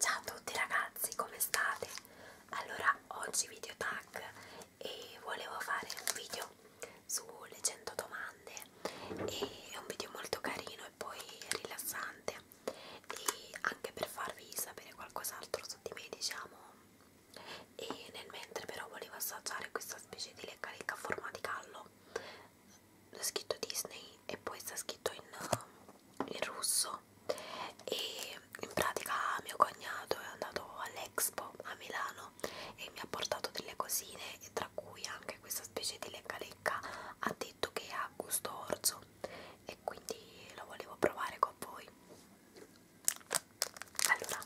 Ciao a tutti ragazzi, come state? Allora, oggi video tag e volevo fare un video sulle 100 domande e è un video molto carino e poi rilassante e anche per farvi sapere qualcos'altro su di me diciamo e nel mentre però volevo assaggiare questa specie di lecca lecca a forma di gallo l'ho scritto Disney e poi sta scritto in, in russo e in pratica mio cognato è andato all'Expo a Milano e mi ha portato delle cosine e tra cui anche questa specie di lecca lecca ha detto che ha gusto orzo e quindi lo volevo provare con voi allora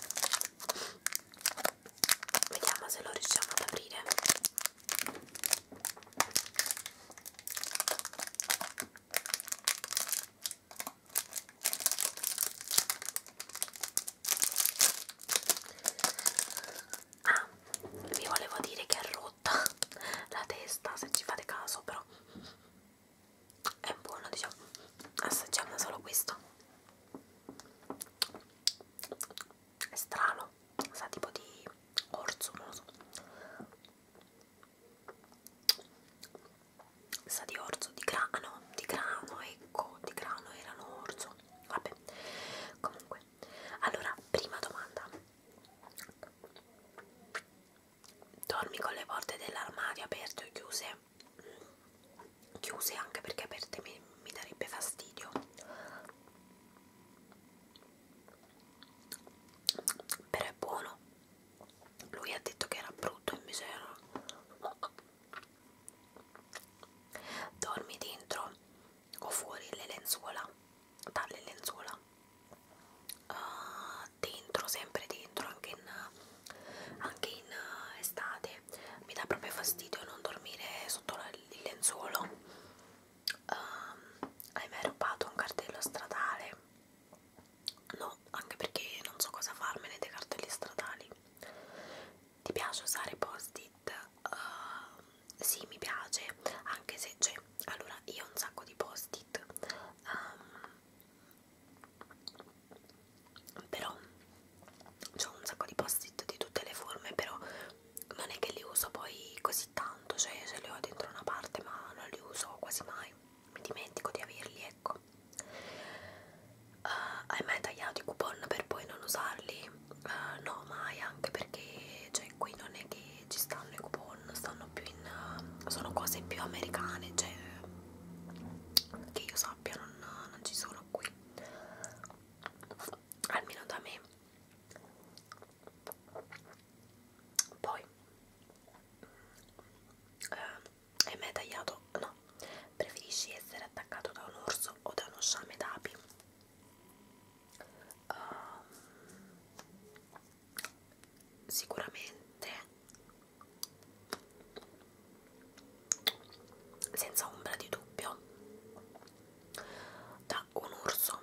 vediamo se lo riusciamo ad aprire Ah, vi volevo dire che è rotta la testa, se ci fate caso, però è buono, diciamo. Assaggiamo solo questo. È strano, sa tipo di orzo, non lo so sa di orzo, di grano, ah no, di grano, ecco, di grano erano orzo, vabbè, comunque, allora, prima domanda, dormi con le porte dell'armadio aperte o chiuse? Mm, chiuse anche perché aperte mi, mi darebbe fastidio però è buono lui ha detto che era brutto e misero dormi dentro o fuori le lenzuola dalle lenzuola uh, dentro sempre dentro anche in, anche in uh, estate mi dà proprio fastidio non dormire sotto la, il lenzuolo um, hai mai rubato un cartello stradale? No, anche perché non so cosa farmene dei cartelli stradali. Ti piace usare post-it? Uh, sì, mi piace, anche se cioè, allora io ho un sacco di post-it. Um, però ho un sacco di post-it di tutte le forme, però non è che li uso poi così così tanto, cioè io ce li ho dentro una parte ma non li uso quasi mai, mi dimentico di averli, ecco. Uh, hai mai tagliato i coupon per poi non usarli? Uh, no, mai, anche perché cioè, qui non è che ci stanno i coupon, stanno più in... Uh, sono cose più americane, cioè che io sappia non, non ci sono qui almeno da me poi eh, è mai tagliato? no preferisci essere attaccato da un orso o da uno sciame d'api? Um, sicuramente senza ombra di dubbio da un orso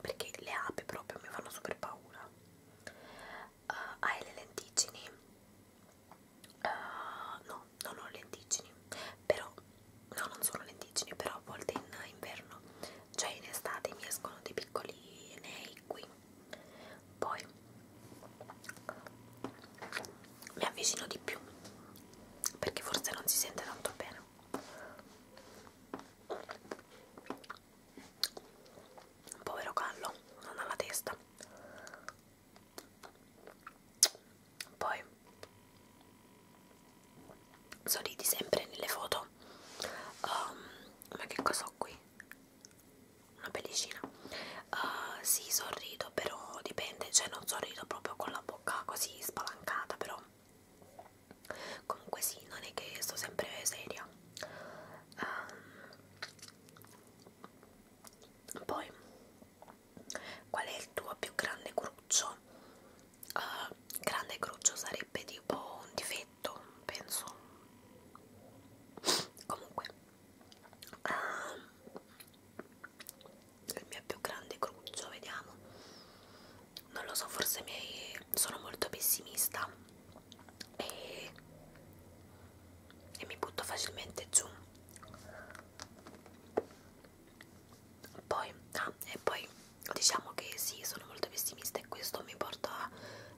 perché le api proprio mi fanno super paura uh, hai le lenticini uh, eh, no non ho lenticini però no non sono lenticini però a volte in inverno cioè in estate mi escono dei piccoli nei qui poi mi avvicino di più perché forse non si sente tanto bene Povero gallo, non ha la testa. Poi sorridi sempre nelle foto. Um, ma che cosa ho qui? Una pellicina. Uh, sì, sorrido, però dipende, cioè non sorrido proprio con la bocca così spalancata, però comunque sì non è che sto sempre seria um, poi qual è il tuo più grande cruccio uh, grande cruccio sarebbe tipo un difetto penso comunque um, il mio più grande cruccio vediamo non lo so, forse miei... sono molto pessimista e... e mi butto facilmente giù. Poi, ah, e poi diciamo che sì, sono molto pessimista e questo mi porta,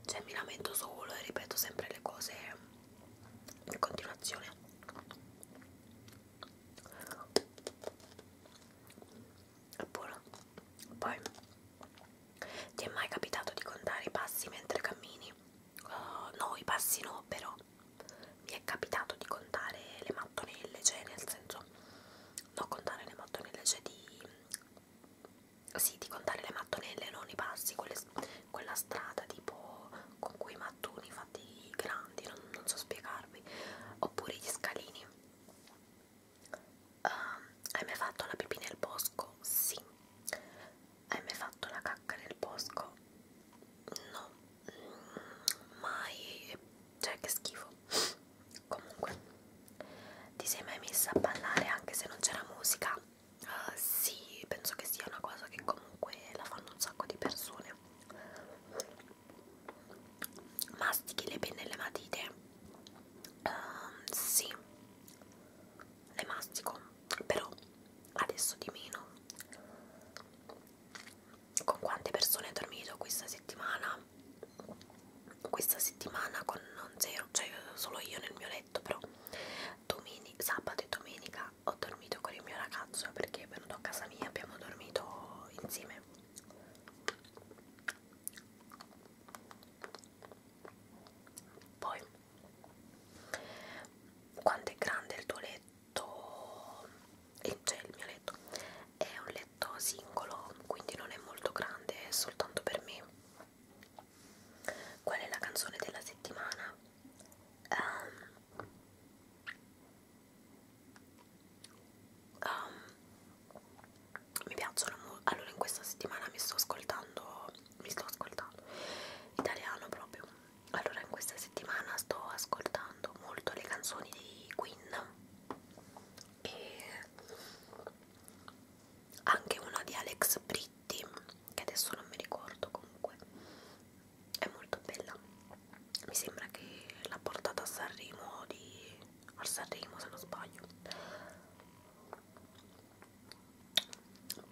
cioè mi lamento solo e ripeto sempre le cose in continuazione è buono poi ti è mai capitato di contare i passi mentre cammini? Uh, no, i passi no, però mi è capitato di contare le mattonelle, cioè nel senso no contare le mattonelle, cioè di sì, di contare le mattonelle, non i passi, quelle, quella strada tipo con quei mattoni fatti grandi, non, non so spiegarvi, oppure gli scalini Uh, hai mai fatto la pipì nel bosco? Sì. Hai mai fatto la cacca nel bosco? No, mm, mai. Cioè, che schifo. Comunque, ti sei mai messa a ballare anche se non c'era musica? Uh, sì, penso che sia una cosa che comunque la fanno un sacco di persone. Mastichi le penne e le matite? Um, sì, le mastico, però adesso di meno. Con quante persone hai dormito questa settimana? Questa settimana con zero, cioè solo io nel mio letto, però domenica, sabato e domenica ho dormito con il mio ragazzo perché è venuto a casa mia, abbiamo dormito insieme poi, quanto è grande il tuo letto, eh, cioè il mio letto, è un letto singolo, quindi non è molto grande, è soltanto per me. Qual è la canzone della settimana? Ehm, um, um, mi piacciono molto. Allora, in questa settimana mi sto ascoltando, mi sto ascoltando italiano proprio. Allora, in questa settimana sto ascoltando molto le canzoni di Queen e anche una di Alex Britti, che adesso non mi ricordo comunque, è molto bella. Mi sembra che l'ha portata a Sanremo di. a Sanremo se non sbaglio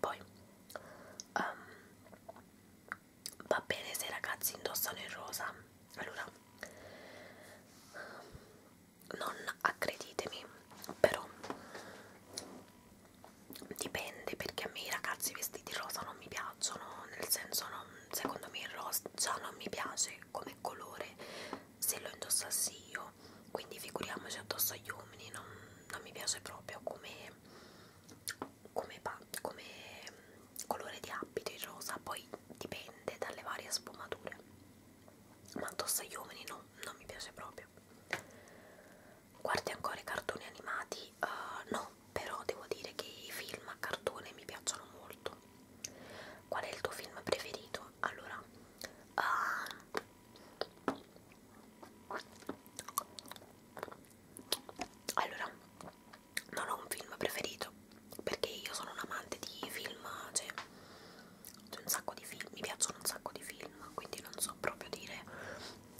poi um, va bene se i ragazzi indossano il rosa allora non accreditemi però dipende perché a me i ragazzi vestiti rosa non mi piacciono nel senso non, secondo me il rosa già non mi piace come colore se lo indossassi io io quindi figuriamoci addosso agli uomini non, non mi piace proprio come, come, come mm, colore di abito il rosa poi dipende dalle varie sfumature ma addosso agli uomini no, non mi piace proprio guardi ancora i cartoni animati? Uh, no, però devo dire che i film a cartone mi piacciono molto qual è il tuo film preferito? allora Uh, allora, non ho un film preferito perché io sono un amante di film, cioè c'è un sacco di film, mi piacciono un sacco di film, quindi non so proprio dire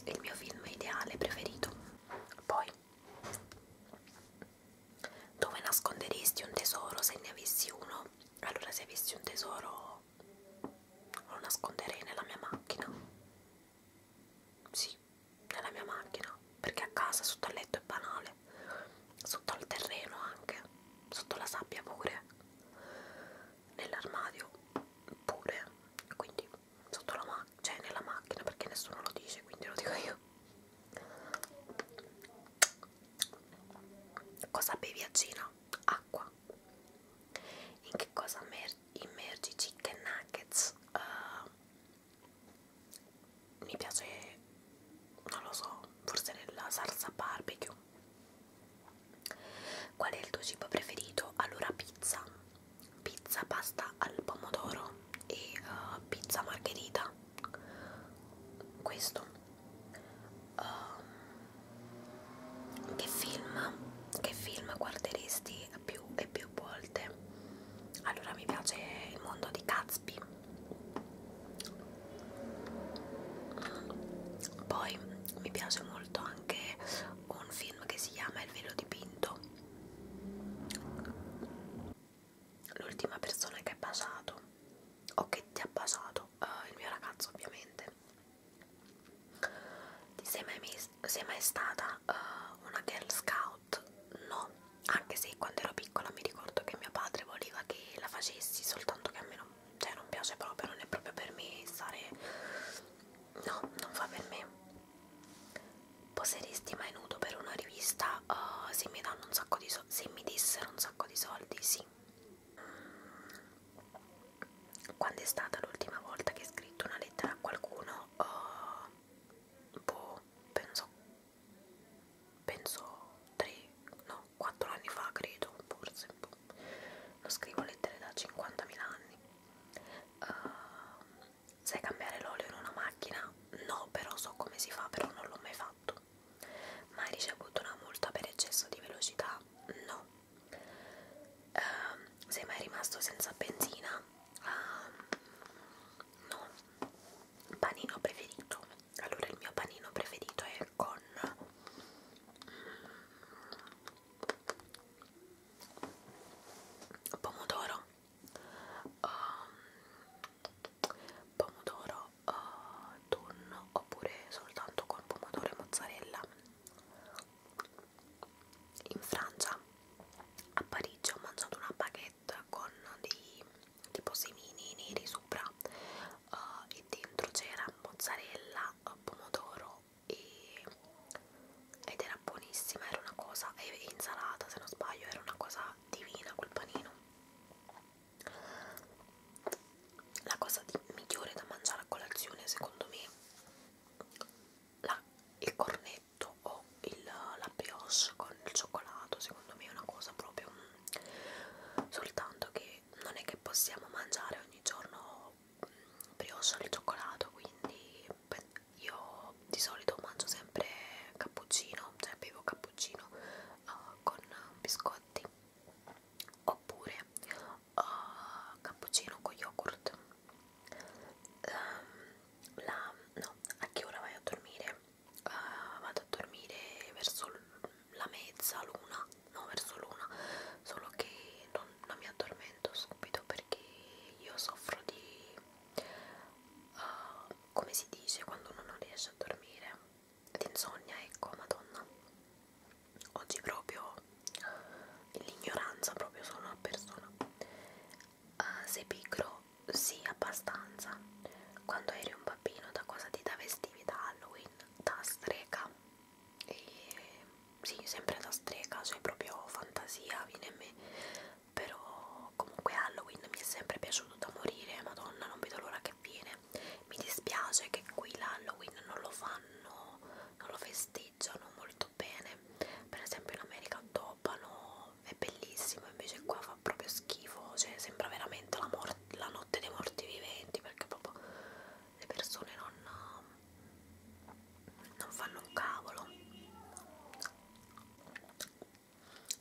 il mio film ideale preferito. Poi dove nasconderesti un tesoro se ne avessi uno? Allora se avessi un tesoro lo nasconderei nella mia macchina. Sì, nella mia macchina, perché a casa sotto al letto è banale, sotto al terreno anche, sotto la sabbia pure, nell'armadio pure, quindi sotto la macchina, cioè nella macchina perché nessuno lo dice, quindi lo dico io. Cosa bevi a cena? Acqua. In che cosa immergi chicken nuggets? Uh, mi piace, non lo so, forse nella salsa barbecue. Qual è il tuo cibo preferito? Allora pizza, pizza pasta al pomodoro e uh, pizza margherita. Questo uh, che film che film guarderesti più e più volte allora mi piace il mondo di Gatsby poi mi piace molto anche un film che si chiama Il velo dipinto l'ultima persona che ha baciato o che ti ha baciato uh, il mio ragazzo ovviamente ti sei mai, sei mai stata uh, una girl scout? no, anche se quando ero piccola mi ricordo che mio padre voleva che la facessi soltanto che a me non, cioè, non piace proprio, non è proprio per me stare no, non fa per me poseresti mai nudo per una rivista? Uh, se mi danno un sacco di soldi se mi dissero un sacco di soldi, sì quando è stata l'ultima volta che ho scritto una lettera a qualcuno uh, boh, penso penso 3 no 4 anni fa credo forse boh. non scrivo lettere da 50.000 anni uh, sai cambiare l'olio in una macchina? no però so come si fa però non l'ho mai fatto Mai ricevuto una multa per eccesso di velocità? No. Uh, sei mai rimasto senza benzina? Uh, no. Panino preferito? Allora il mio panino preferito è con pomodoro. Um, pomodoro uh, eh, tonno oppure soltanto con pomodoro e mozzarella in Francia a Parigi ho mangiato una baguette con dei tipo semini neri sopra uh, e dentro c'era mozzarella, pomodoro e, ed era buonissima, era una cosa e insalata se non sbaglio, era una cosa divina quel panino la cosa di, migliore da mangiare a colazione secondo me la, il cornetto o il, la brioche con il cioccolato secondo me è una cosa proprio mh, mm, soltanto che non è che possiamo mangiare ogni giorno mh, mm, brioche al cioccolato quindi beh, io di solito mangio sempre cappuccino cioè bevo cappuccino uh, con biscotti oppure uh, cappuccino con yogurt um, la, no, a che ora vai a dormire? Uh, vado a dormire verso la mezza luna no verso l'una solo che non, non mi addormento subito perché io soffro di uh, come si dice quando uno non riesce a dormire di insonnia, ecco, madonna. Oggi proprio eh, l'ignoranza proprio sono una persona. Uh, eh, sei pigro? Sì, abbastanza. Quando eri un bambino da cosa ti travestivi da Halloween? Da strega. E, sì, sempre da strega, cioè proprio fantasia viene a me. Però comunque Halloween mi è sempre piaciuto da morire, madonna, non vedo l'ora che viene mi dispiace che qui l'Halloween non lo fanno, non lo festeggiano molto bene. Per esempio in America Topano è bellissimo, invece qua fa proprio schifo, cioè sembra veramente la, la notte dei morti viventi perché proprio le persone non, non fanno un cavolo.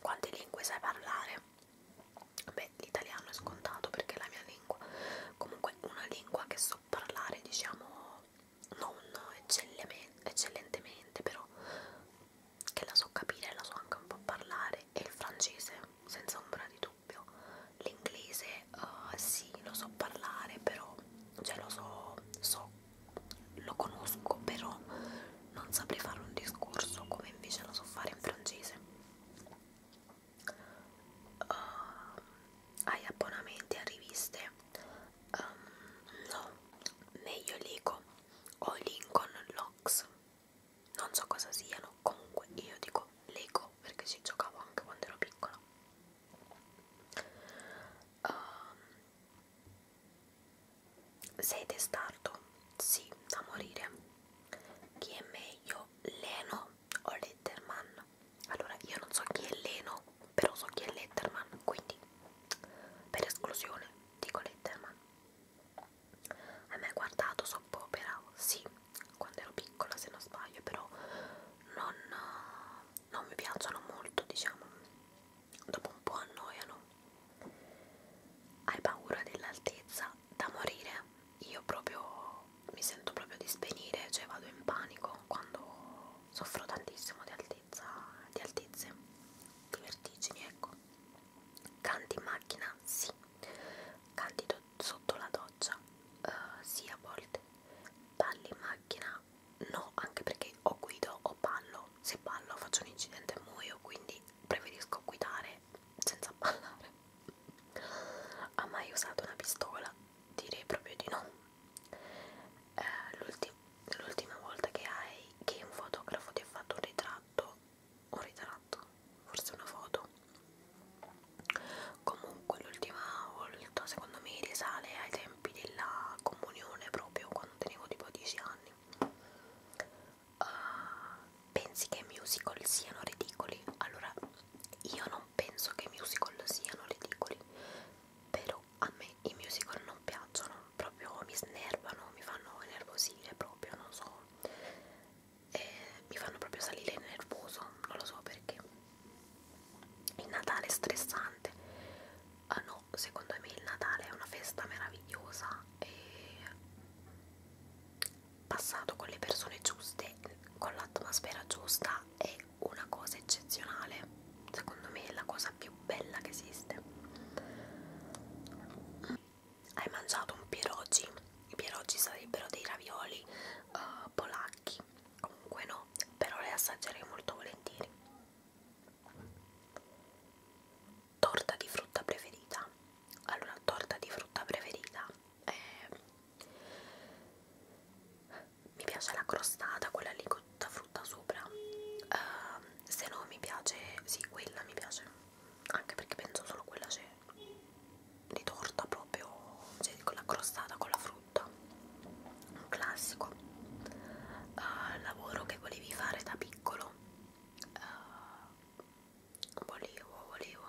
Quante lingue sai parlare? beh l'italiano è scontato perché è la mia lingua comunque una lingua che so parlare diciamo non eccellentemente però che la so capire e la so anche un po' parlare e il francese senza ombra di dubbio l'inglese uh, sì lo so parlare però cioè lo so, so lo conosco però non saprei fare un discorso come invece lo so fare in francese uh, hai abbonamenti a riviste? Um, no, meglio Lego o Lincoln Locks, non so cosa siano, comunque io dico Lego perché ci giocavo anche quando ero piccola. Uh, sei testardo? Sì, da morire. Chi è meglio? Leno o Letterman. Allora, io non so chi è Leno, però so chi è Letterman, quindi per esclusione dico Letterman. Hai mai guardato soppopera? Sì, quando ero piccola se non sbaglio, però non, non mi piacciono molto, diciamo. Dopo un po' annoiano. Hai paura dell'altezza? da morire, io proprio mi sento proprio di svenire, cioè vado in panico quando soffro tantissimo di altezza, di altezze, di vertigini, ecco. Canti in macchina, sì, canti sotto la doccia, uh, sì a volte, balli in macchina, no, anche perché o guido o ballo, se ballo faccio un incidente e muoio, quindi preferisco guidare senza ballare ha mai usato una pistola? Direi proprio di no. Eh, L'ultima volta che, hai, che un fotografo ti ha fatto un ritratto, un ritratto, forse una foto. Comunque l'ultima volta secondo me risale ai tempi della comunione proprio quando tenevo tipo 10 anni. Uh, pensi che i musical siano ridicoli? Allora, io non penso che i musical siano ridicoli, però a me i musical non piacciono, proprio mi snervano, mi fanno nervosire proprio, non so, e mi fanno proprio salire nervoso, non lo so perché. Il Natale è stressante, ah no, secondo me il Natale è una festa meravigliosa e passato con le persone giuste, con l'atmosfera giusta è una cosa eccezionale, secondo me è la cosa più bella che esiste. Hai mangiato un pierogi, i pierogi sarebbero dei ravioli uh, polacchi, comunque no, però le assaggerei molto volentieri. Torta di frutta preferita. Allora, torta di frutta preferita eh, mi piace la crostata, quella lì con tutta frutta sopra uh, se no mi piace, sì quella mi piace anche perché penso solo quella c'è di torta proprio cioè con la crostata con la frutta un classico uh, lavoro che volevi fare da piccolo ehm, uh, volevo volevo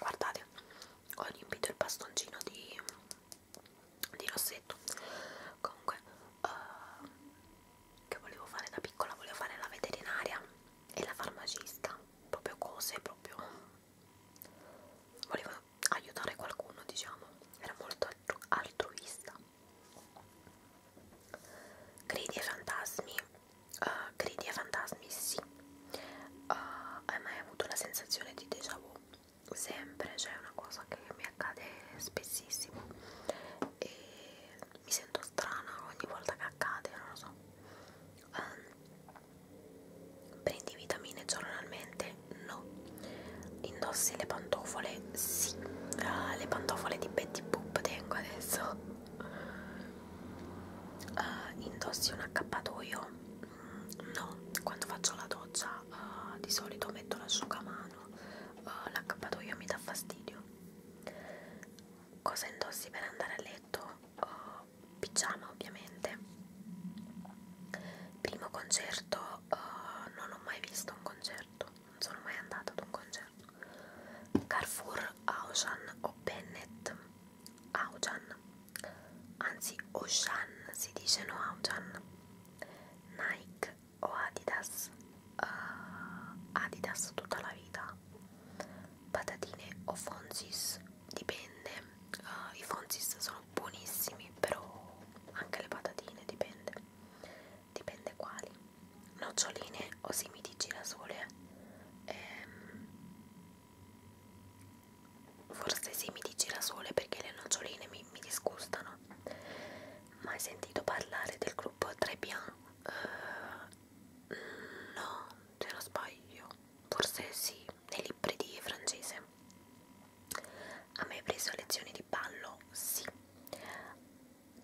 guardate ho riempito il bastoncino di, di rossetto comunque uh, che volevo fare da piccola volevo fare la veterinaria e la farmacista proprio cose proprio volevo aiutare qualcuno diciamo era molto altru altruista Gridi e fantasmi, uh, eh, gridi e fantasmi sì. Uh, hai mai avuto la sensazione di déjà vu? Sempre, cioè è una cosa che mi accade spessissimo e mi sento strana ogni volta che accade, non lo so. Um, prendi vitamine giornalmente? No. Indossi le pantofole pantofole, sì, uh, le pantofole di Betty Boop tengo adesso. Uh, indossi un accappatoio? Mm, no, quando faccio la doccia uh, di solito metto l'asciugamano, uh, l'accappatoio mi dà fastidio. Cosa indossi per andare a letto? Uh, pigiama ovviamente. Primo concerto, uh, non ho mai visto un concerto, non sono mai andata ad un concerto Carrefour, Auchan o Bennett Auchan anzi Auchan si dice no Auchan Nike o Adidas uh, Adidas tutta la vita patatine o Fonzis dipende uh, i Fonzis sono buonissimi però anche le patatine dipende dipende quali, noccioline o semi di girasole, ehm, forse semi di girasole perché le noccioline mi, mi disgustano. Ma hai sentito parlare del gruppo Trebian? Uh, no, se non sbaglio, forse sì, nei libri di francese. A me hai preso lezioni di ballo? Sì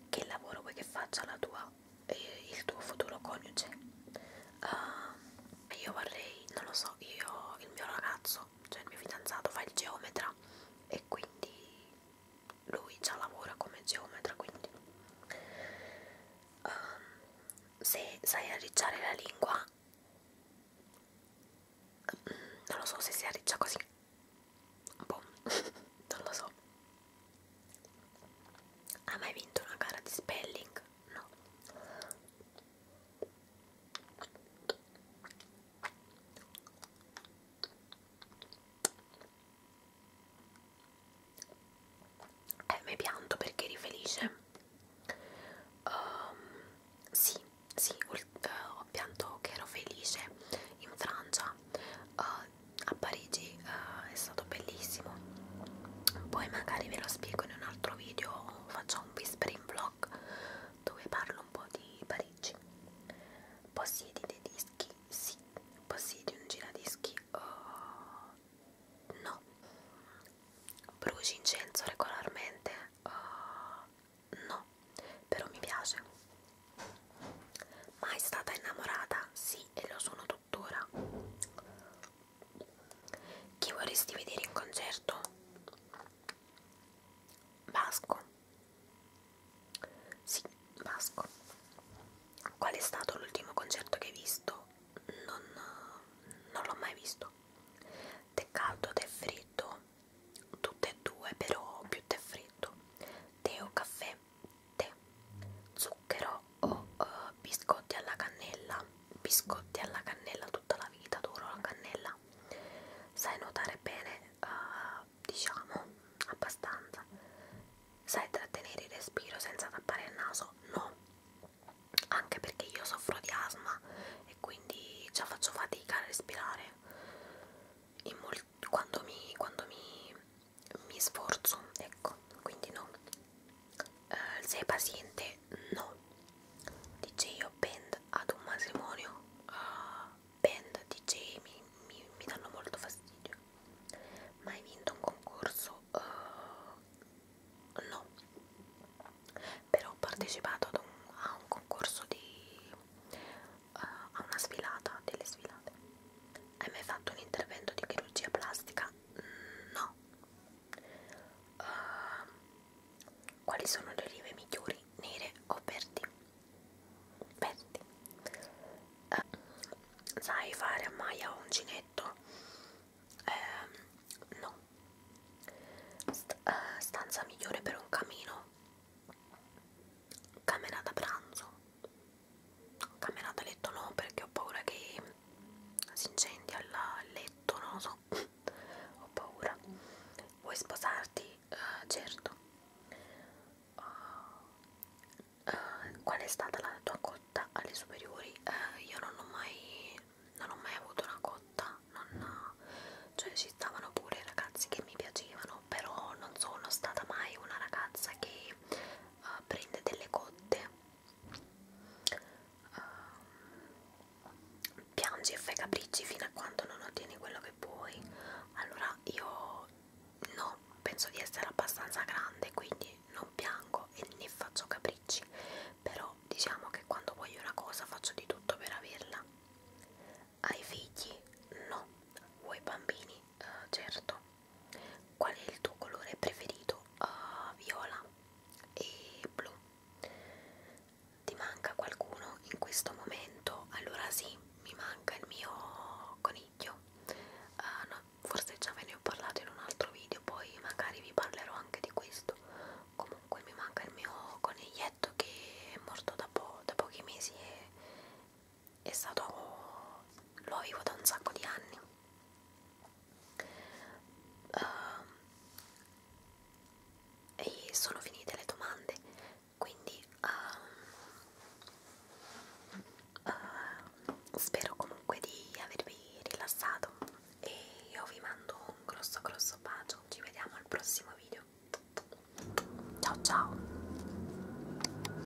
che lavoro vuoi che faccia la tua, eh, il tuo futuro coniuge? Uh, io vorrei, non lo so, io, il mio ragazzo, cioè il mio fidanzato fa il geometra e quindi lui già lavora come geometra, quindi um, se sai arricciare la lingua, mm, non lo so se si arriccia così boh, non lo so. Ha mai vinto una gara di spelling? No. Eh, mi pianto perché eri felice. Um, sì, sì, eh, ho uh, pianto che ero felice in Francia uh, a Parigi uh, è stato bellissimo poi magari ve lo spiego in un altro video faccio un whispering vlog dove parlo un po' di Parigi possiedi dei dischi? sì possiedi un giradischi? Uh, no bruci incenso regolarmente? Uh, no però mi piace Mai stata innamorata? Sì, e lo sono tuttora. Chi vorresti vedere in concerto? Vasco. Sì, Vasco. Qual è stato l'ultimo concerto che hai visto? Non, non l'ho mai visto. Te caldo, te freddo? Tutte e due, però più te freddo. Tè o caffè? tè, zucchero o uh, biscotti alla cannella, biscotti alla cannella tutta la vita, adoro la cannella, sai nuotare bene, uh, diciamo, abbastanza, sai trattenere il respiro senza tappare il naso, no, anche perché io soffro di asma e quindi già faccio fatica a respirare in molti, quando mi, quando mi mi sforzo, ecco, quindi no. Uh, sei paziente? No. DJ io band ad un matrimonio? Uh, eh, band DJ mi, mi, mi danno molto fastidio. Mai vinto un concorso? Uh, no. Però ho partecipato ad un, a un concorso di uh, eh, a una sfilata, delle sfilate. Hai mai fatto un intervento di chirurgia plastica? Mm, no. Uh, quali sono le rive migliori, nere o verdi? Verdi. Uh, sai fare a Maya uncinetto? Uh, no. St uh, stanza migliore per un camino? Camera da pranzo? camminata a letto no perché ho paura che si incendi al letto non lo so ho paura vuoi sposarti? Uh, certo uh, uh, qual è stata la tua cotta alle superiori? Uh, io non ho mai non ho mai avuto una cotta non, cioè ci stavano pure ragazzi che mi piacevano però non sono stata mai una ragazza che uh, prende delle cotte, uh, piangi e fai capricci fino a quando non ottieni quello che vuoi. Allora io no, penso di essere abbastanza grande, quindi non piango e ne faccio capricci, però diciamo che quando voglio una cosa faccio di tutto per averla. Hai figli? No. Vuoi bambini? uh, certo qual è il tuo colore preferito uh, viola e blu ti manca qualcuno in questo momento allora sì mi manca il mio coniglio uh, no, forse già ve ne ho parlato in un altro video poi magari vi parlerò anche di questo comunque mi manca il mio coniglietto che è morto da, po da pochi mesi e è stato lo vivo da un sacco di anni uh, e sono finite le domande quindi um, uh, spero comunque di avervi rilassato e io vi mando un grosso grosso bacio ci vediamo al prossimo video ciao ciao